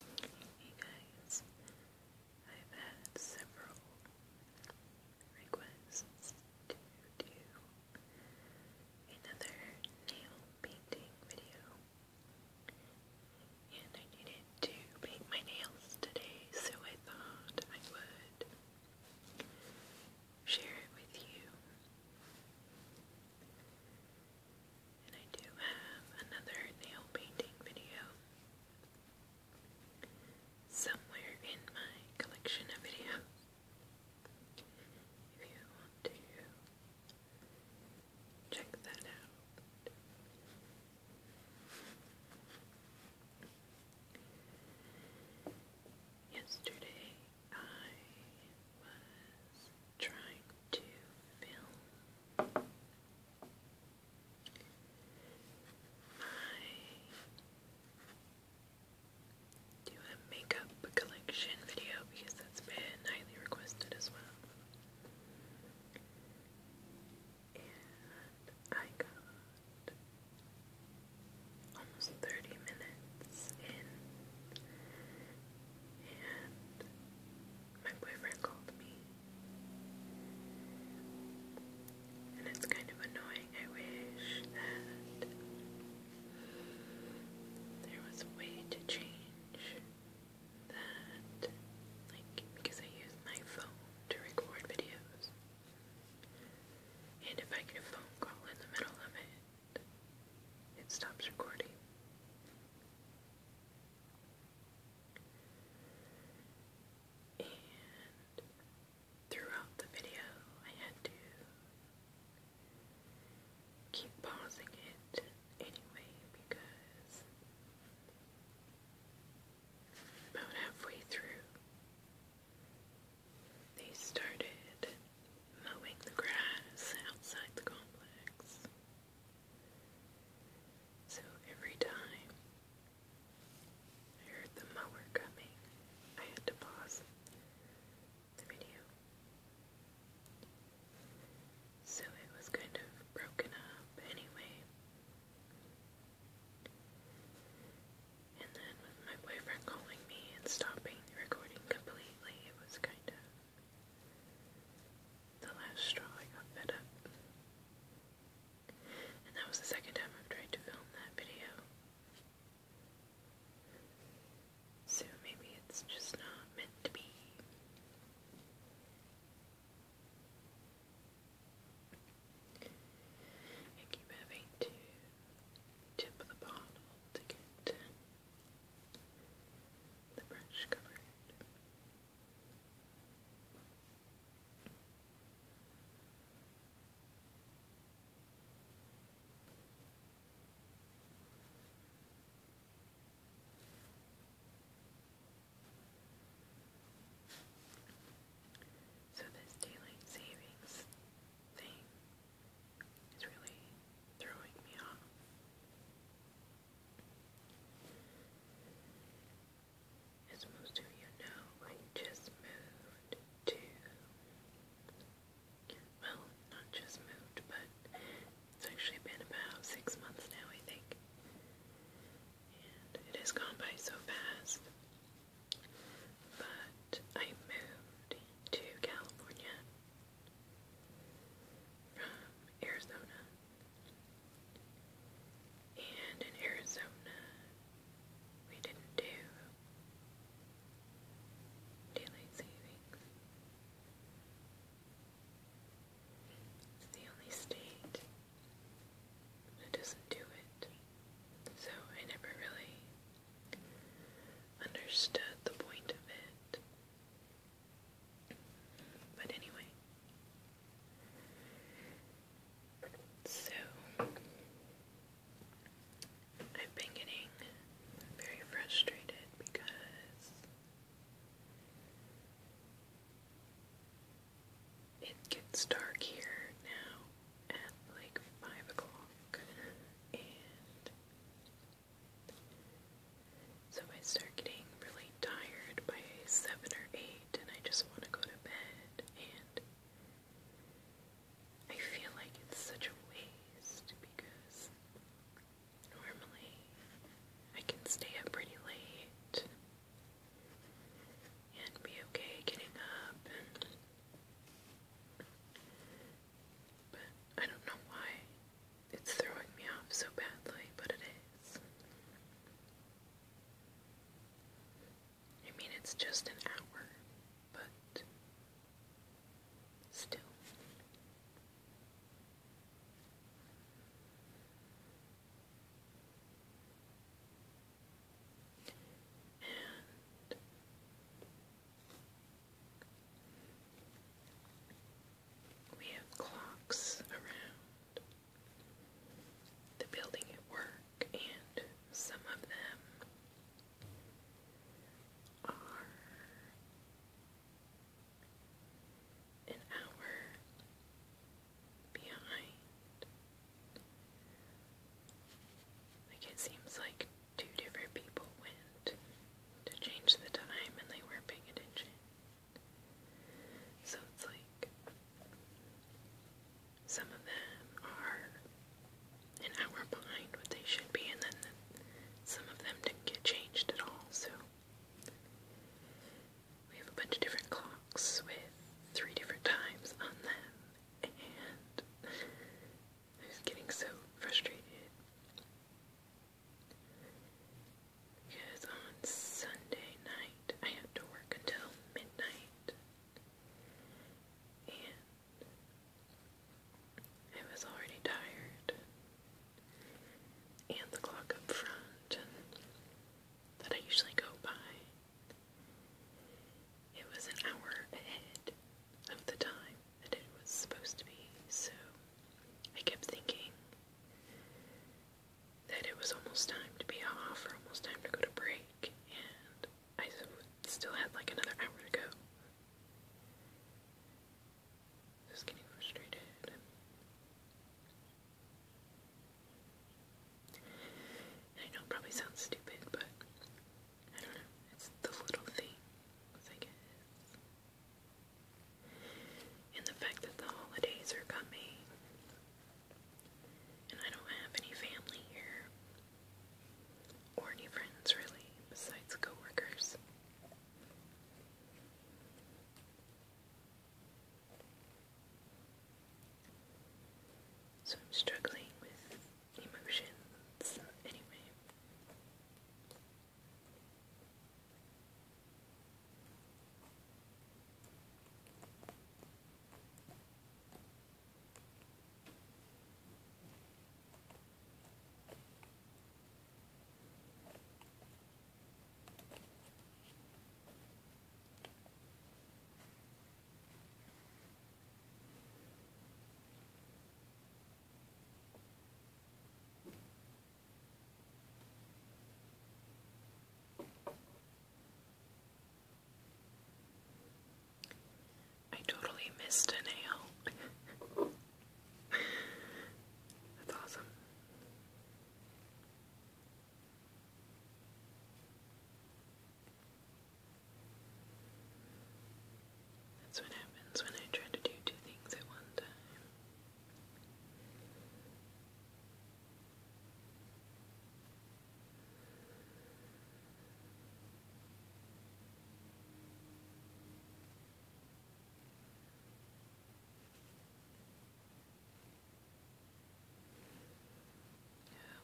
Hey guys, I've had several requests to do another nail painting video, and I needed to paint my nails today, so I thought I would share it with you. And I do have another nail painting video somewhere in my collection of videos. If you want to check that out. Yesterday I was trying to film my do a makeup collection video because that's been highly requested as well. And I got almost 30 minutes in and my boyfriend called me. And it's kind of annoying. I wish that there was a way to change that, like, because I use my phone to record videos. And if I get a phone call in the middle of it, it stops recording. And throughout the video, I had to keep pausing it anyway because about halfway through, they started mowing the grass outside the complex. So every time I heard the mower coming, I had to pause the video. So it was kind of broken up anyway. And then with my boyfriend calling me and stopping the recording completely, it was kind of the last straw I got fed up. And that was the second time I've tried to film that video. So maybe it's just not meant to be. I keep having to tip the bottle to get the brush covered. So this daylight savings thing it's really throwing me off. As most of you know, I just moved to. Well, not just moved, but it's actually been about six months now, I think. And it has gone by so fast. But I moved to California from Arizona. And in Arizona, we didn't do daylight savings. It's the only state that doesn't do it. So I never really understood the point of it. But anyway. So, I've been getting very frustrated because it gets dark here now at like 5 o'clock, and so I start getting really tired by 7 or 8 and I just want to go to bed and I feel like it's such a waste because normally I can stay up pretty late and be okay getting up but I don't know why it's throwing me off so badly, but it is. I mean, it's just an hour, but still. And we have clocks around the building at work, and some of them are an hour behind. Like it seems like two different people went to change the time and they weren't paying attention. So it's like some of them are an hour behind what they should be, and then some of them didn't get changed at all. So we have a bunch of different clocks with three different times on them, and I was getting so frustrated because on Sunday night I had to work until midnight and I was already tired and the clock up front that I usually go by. It was an hour ahead of the time that it was supposed to be, so I kept thinking that it was almost time to be off or almost time to go to break, and I still had like another hour to go. Just getting frustrated. I know it probably sounds stupid, but I don't know. It's the little things, I guess. And the fact that the holidays are coming. And I don't have any family here. Or any friends, really, besides coworkers. So I'm struggling with emotions. Anyway. I totally missed a nail. That's awesome. That's what happens when I try to do two things at one time.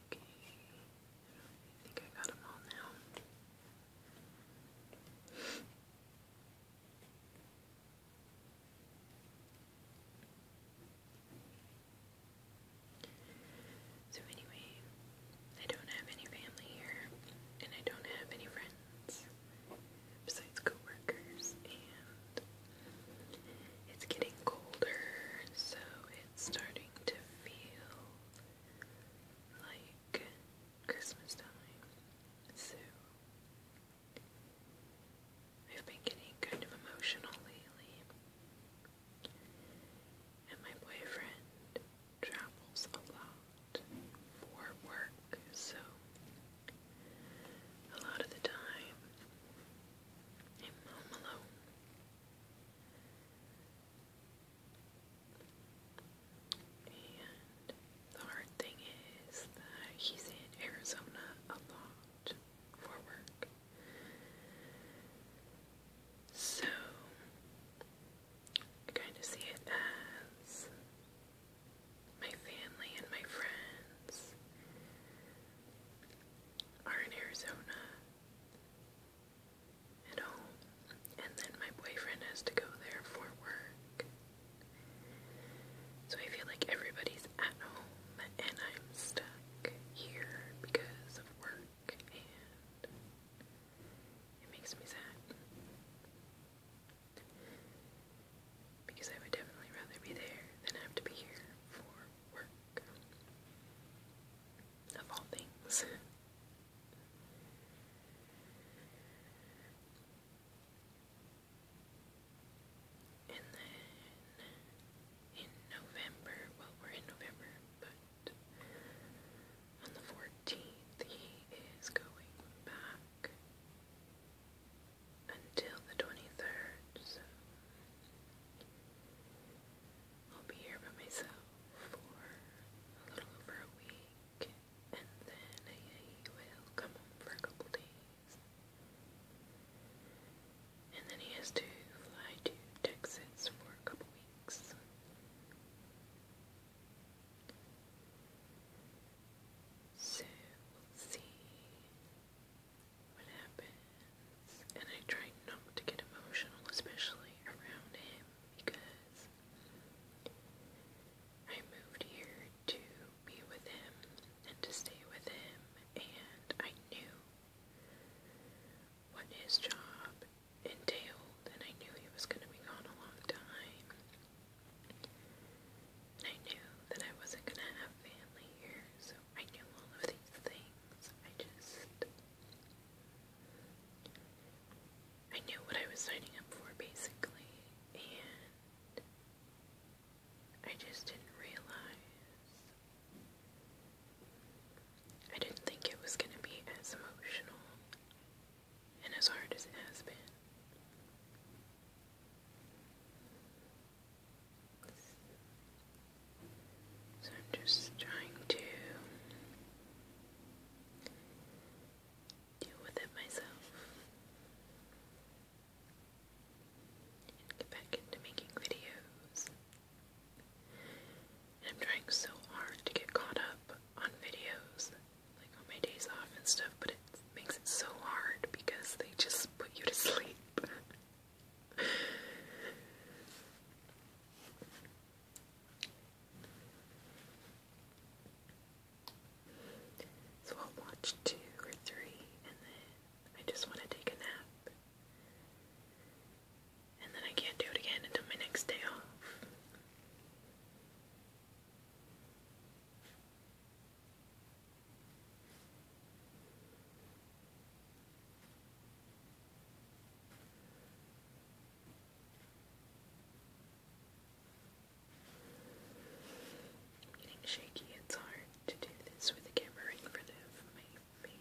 Okay. I think I got them all now. So, anyway, I don't have any family here, and I don't have any friends besides co and it's getting colder, so it's starting to feel like Christmas time. So I've been getting kind of emotional lately. And my boyfriend travels a lot for work, so a lot of the time I'm home alone. And the hard thing is that he's in Arizona a lot for work. So I kind of see it as my family and my friends are in Arizona at home, and then my boyfriend has to go there for work. So I feel like everybody's at home, and I'm stuck here because of work, it makes me sad. Because I would definitely rather be there than have to be here for work of all things. in November, well, we're in November, but on the 14th, he is going back until the 23rd, I'll be here by myself for a little over a week, and then he will come home for a couple days. And then he has to fly to Texas for a couple weeks. So we'll see what happens. And I try not to get emotional, especially around him because I moved here to be with him and to stay with him, and I knew what his job entailed, and I knew he was going to be gone a long time. And I knew that I wasn't going to have family here, so I knew all of these things. I just I knew what I was signing up for basically, and I just didn't realize. I didn't think it was going to be as emotional and as hard as it has been. So I'm just trying to deal with it myself and get back into making videos. I'm trying so hard to get caught up on videos, like on my days off and stuff, but it makes it so hard because they just put you to sleep. So I'll watch two or three, and then I just want to take a nap. And then I can't do it again until my next day off getting shaky. It's hard to do this with the camera in front of my face.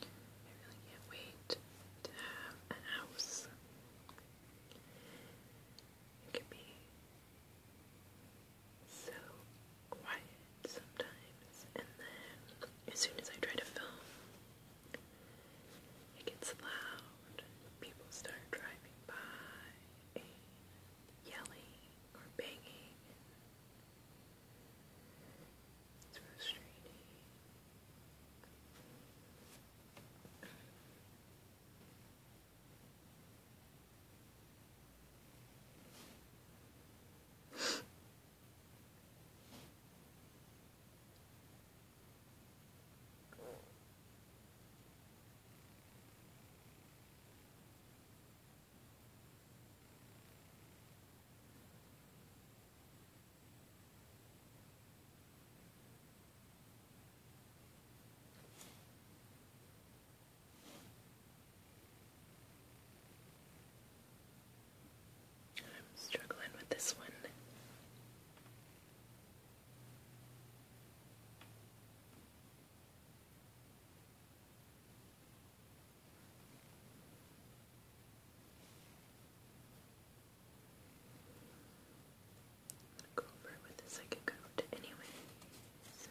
I really can't wait to have a house. It can be so quiet sometimes, and then as soon as I try to film, it gets loud. People start driving by yelling or banging. It's frustrating. I'm struggling with this one. Go over with a second coat anyway. So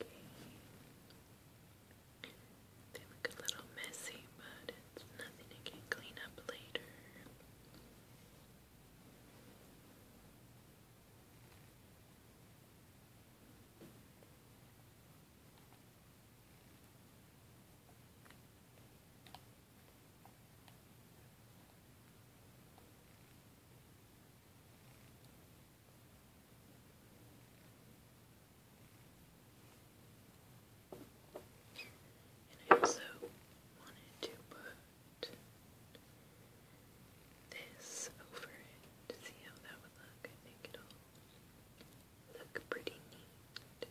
Okay. They look a little messy, but it's nothing you can clean up later. And I also wanted to put that. This over it. See how that would look? I it'll look pretty neat.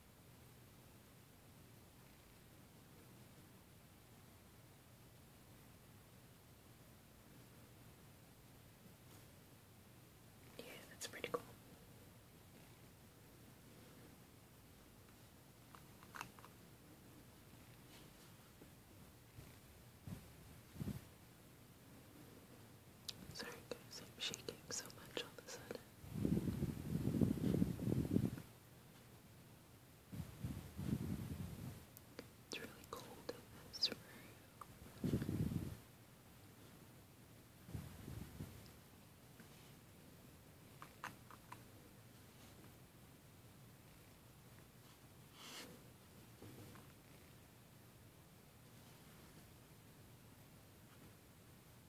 Yeah, that's pretty cool. Sorry guys, I'm shaking so much all of a sudden. It's really cold in this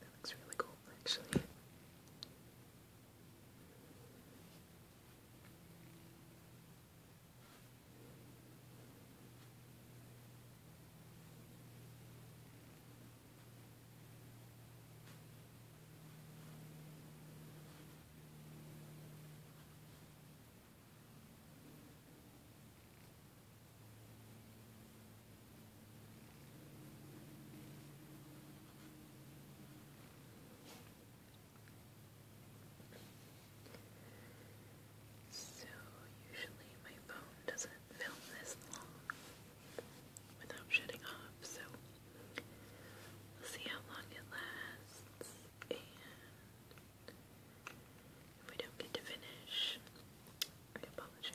That looks really cool, actually. So, usually my phone doesn't film this long without shutting off, so we'll see how long it lasts and if we don't get to finish, I apologize.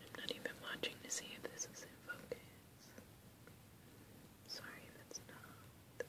I'm not even watching to see if this is in focus. Sorry if not.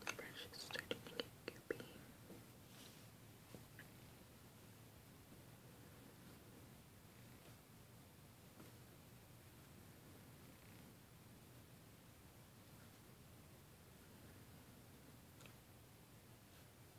The brush starting to get goopy.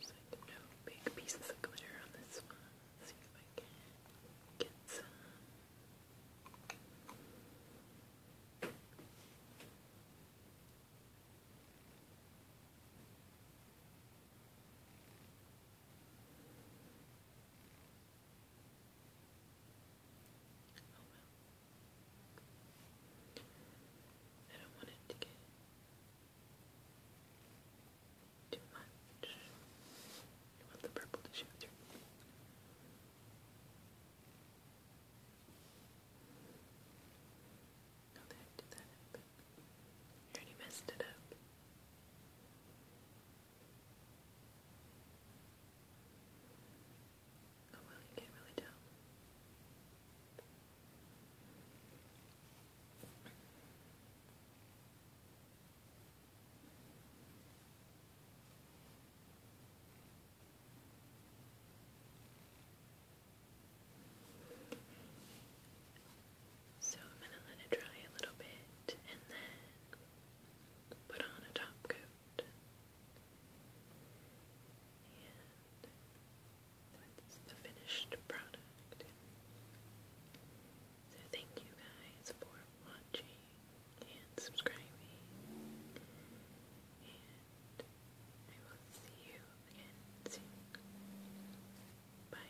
Just like no big pieces of glitter on this one. see if I can get some. Oh, I don't want it to get too much. You want the purple to show through. How the did that happen? I already messed it up. Oh you So I'm going to let it dry a little bit and then put on a top coat that's the finished product. So thank you guys for watching and subscribing. And I will see you again soon. Bye.